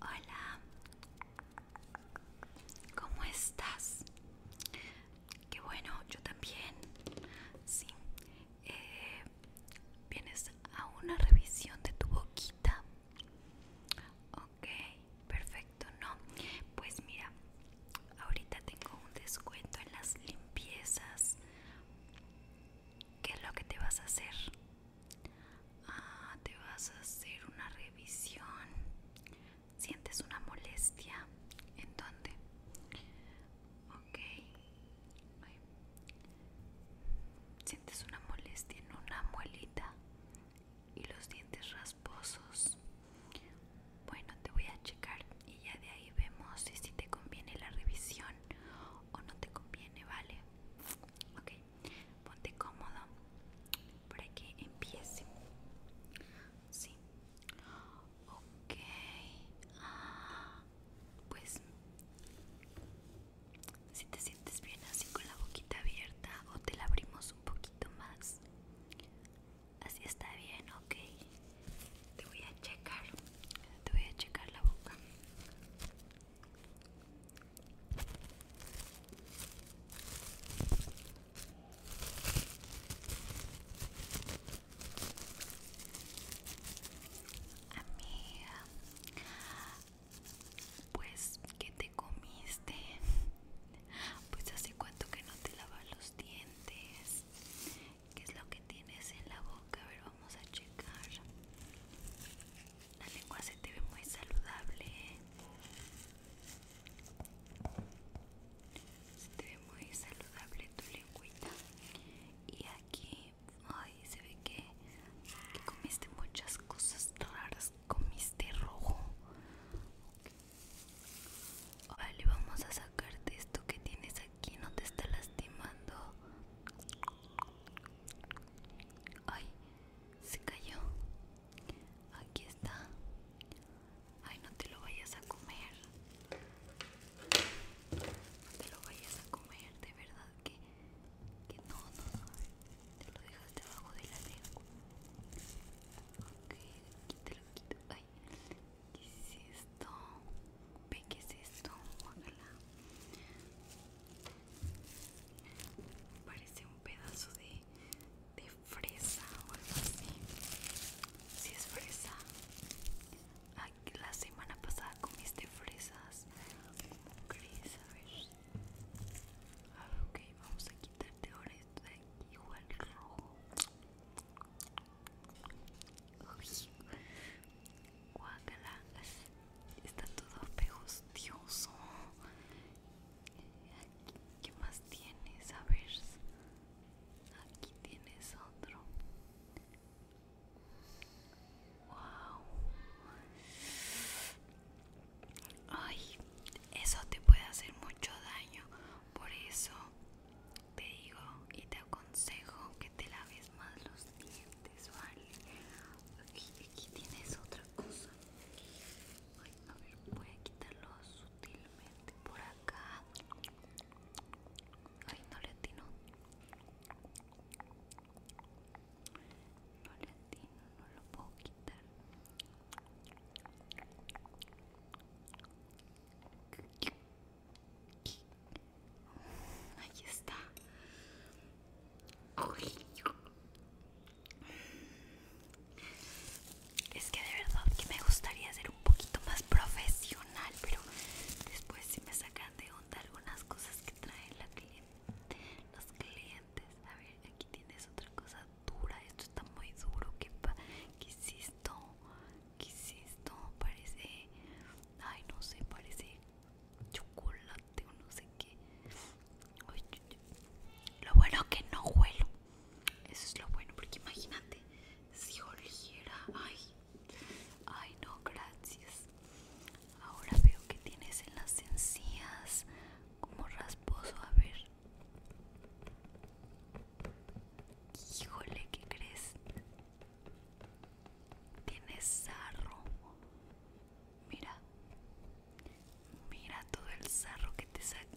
Hola, ¿cómo estás? Qué bueno, yo también. Sí, eh, vienes a una revisión de tu boquita. Ok, perfecto, no. Pues mira, ahorita tengo un descuento en las limpiezas. ¿Qué es lo que te vas a hacer? Ah, te vas a hacer una revisión. ¿Sientes una molestia? ¿En dónde? Ok. ¿Sientes una molestia en una muelita? Y los dientes rasposos. Bueno, te voy a checar y ya de ahí vemos si, si te conviene la revisión o no te conviene, ¿vale? Ok, ponte cómodo para que empiece sí ok ah, pues si te sientes bien así con la boquita abierta o te la abrimos un poquito más así está bien ok te voy a checar te voy a checar la boca Amiga, pues que te comiste, pues hace cuánto que no te lavas los dientes, qué es lo que tienes en la boca, a ver, vamos a checar. La lengua se te ve muy saludable. Se te ve muy saludable tu lengüita. Y aquí, ay, se ve que, comiste muchas cosas raras. Comiste rojo. Vale, vamos a sacarte esto que tienes aquí. No te está lastimando. Ay, se cayó. Aquí está. Ay, no te lo vayas a comer. No te lo vayas a comer, de verdad que, que no, no, no. Te lo dejas debajo de la lengua. Ok, lo quito Ay, ¿qué es esto? Ve, ¿qué es esto? Ojalá. Parece un pedazo de, de fresa o algo así. Si es fresa. la semana pasada comiste fresas. crees? A ver. Ah, ok, vamos a quitarte ahora esto de aquí, igual rojo. Guacalangas Está todo pegostioso. ¿Qué más tienes? A ver. Aquí tienes otro. Wow. Ay, eso te puede hacer mucho daño. Por eso te digo y te aconsejo que te laves más los dientes, ¿vale? aquí tienes otra cosa voy a quitarlo sutilmente por acá. Ay, no le atino. No le atino, no lo puedo quitar. Ahí está. Es que de verdad que me gustaría ser un poquito más profesional, pero después si me sacan de onda algunas cosas que traen los clientes. A ver, aquí tienes otra cosa dura, esto está muy duro, ¿qué, qué esto? ¿Qué es esto? Parece, ay no sé, parece chocolate o no sé qué lo bueno es que no huelo. Eso es lo bueno, porque imagínate si oliera. Ay, ay, no, gracias. Ahora veo que tienes en las encías como rasposo. A ver, híjole, ¿qué crees? Tienes sarro. Mira, Mira todo el sarro que te saqué.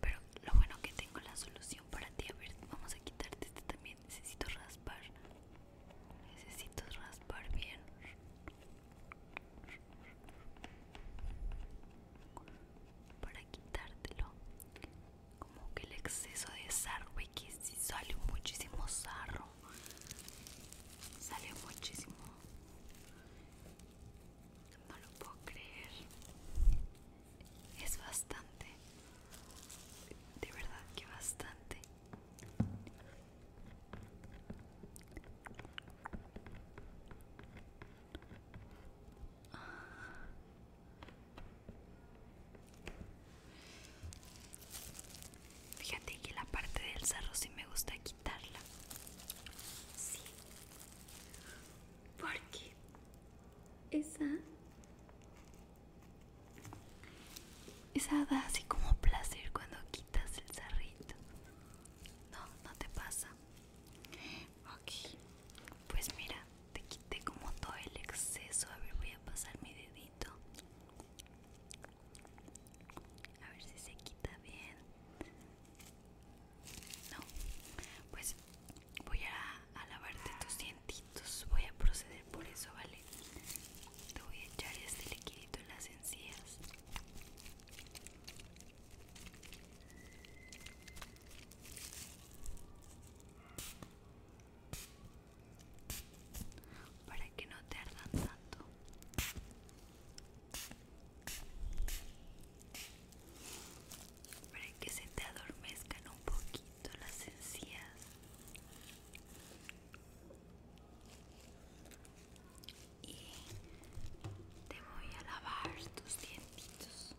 Pero lo bueno que tengo la solución para ti. A ver, vamos a quitarte este también. Necesito raspar. Necesito raspar bien. Para quitártelo como que el exceso de sarro y que si sale muchísimo sarro sale muchísimo no lo puedo creer es bastante de verdad que bastante Fíjate que la parte del cerro sí me gusta quitarla. Sí. Porque esa... Esa da así como placer cuando quitas el cerrito. No, no te pasa. Ok, Pues mira, te quité como todo el exceso. A ver, voy a pasar mi dedito. A ver si se quita bien. No, pues voy a, lavarte tus dientitos. Voy a proceder por eso, ¿vale? Te voy a echar este liquidito en las encías para que no te ardan tanto para que se te adormezcan un poquito las encías y te voy a lavar tus dientitos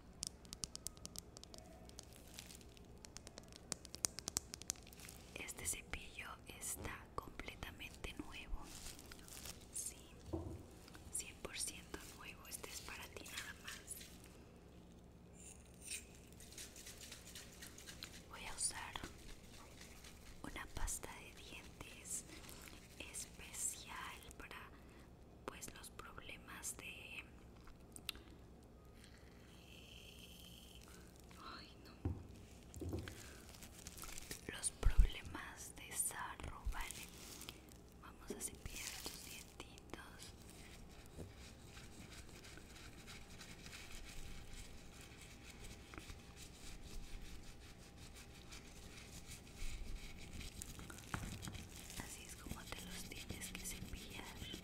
este cepillo está completamente nuevo. Sí, 100% nuevo. Este es para ti nada más. Voy a usar una pasta de dientes especial para pues los problemas de los problemas de sarro, vale. Vamos a cepillar los dientitos. Así es como te los tienes que cepillar.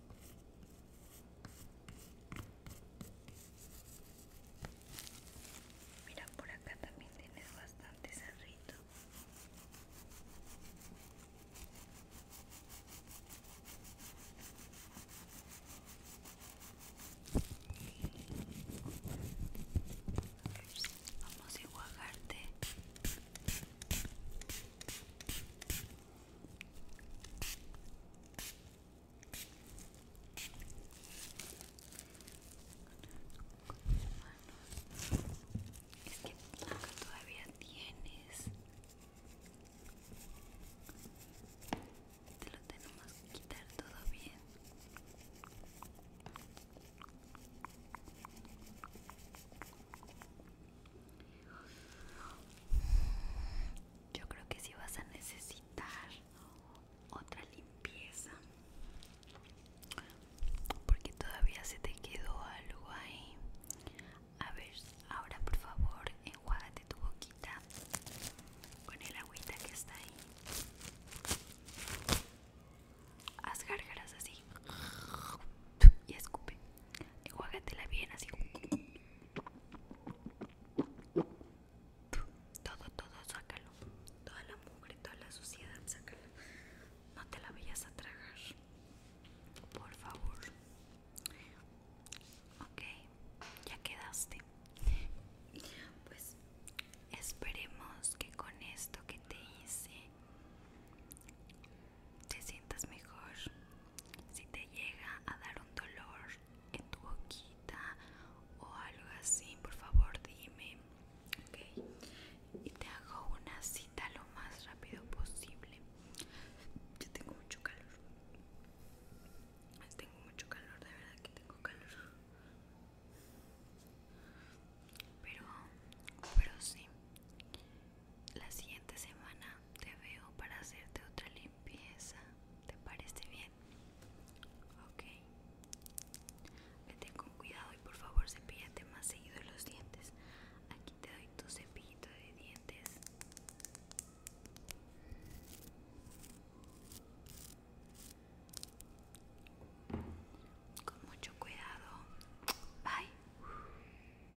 Mira, por acá también tienes bastante cerrito. Vamos a enjuagarte es que nunca todavía tienes. Te lo tenemos que quitar todo bien. Yo creo que si vas a necesitar otra limpieza, porque todavía se te quedó algo ahí. A ver, ahora por favor, enjuágate tu boquita con el agüita que está ahí. Haz gárgaras así y escupe. la bien así. Todo, todo, sácalo. Toda la mugre, toda la suciedad, Sácalo No te la vayas a tragar. Por favor. Ok, ya quedaste. Pues esperemos que con esto que te hice te sientas mejor. Si te llega a dar un dolor en tu boquita o algo así, por favor dime. Y te hago una cita lo más rápido posible. Yo tengo mucho calor. Tengo mucho calor, de verdad que tengo calor. Pero, pero sí la siguiente semana te veo para hacerte otra limpieza. ¿Te parece bien? Ok. Vete con cuidado y por favor cepillate más seguido los dientes. Aquí te doy tu cepillito de dientes. Con mucho cuidado. Bye.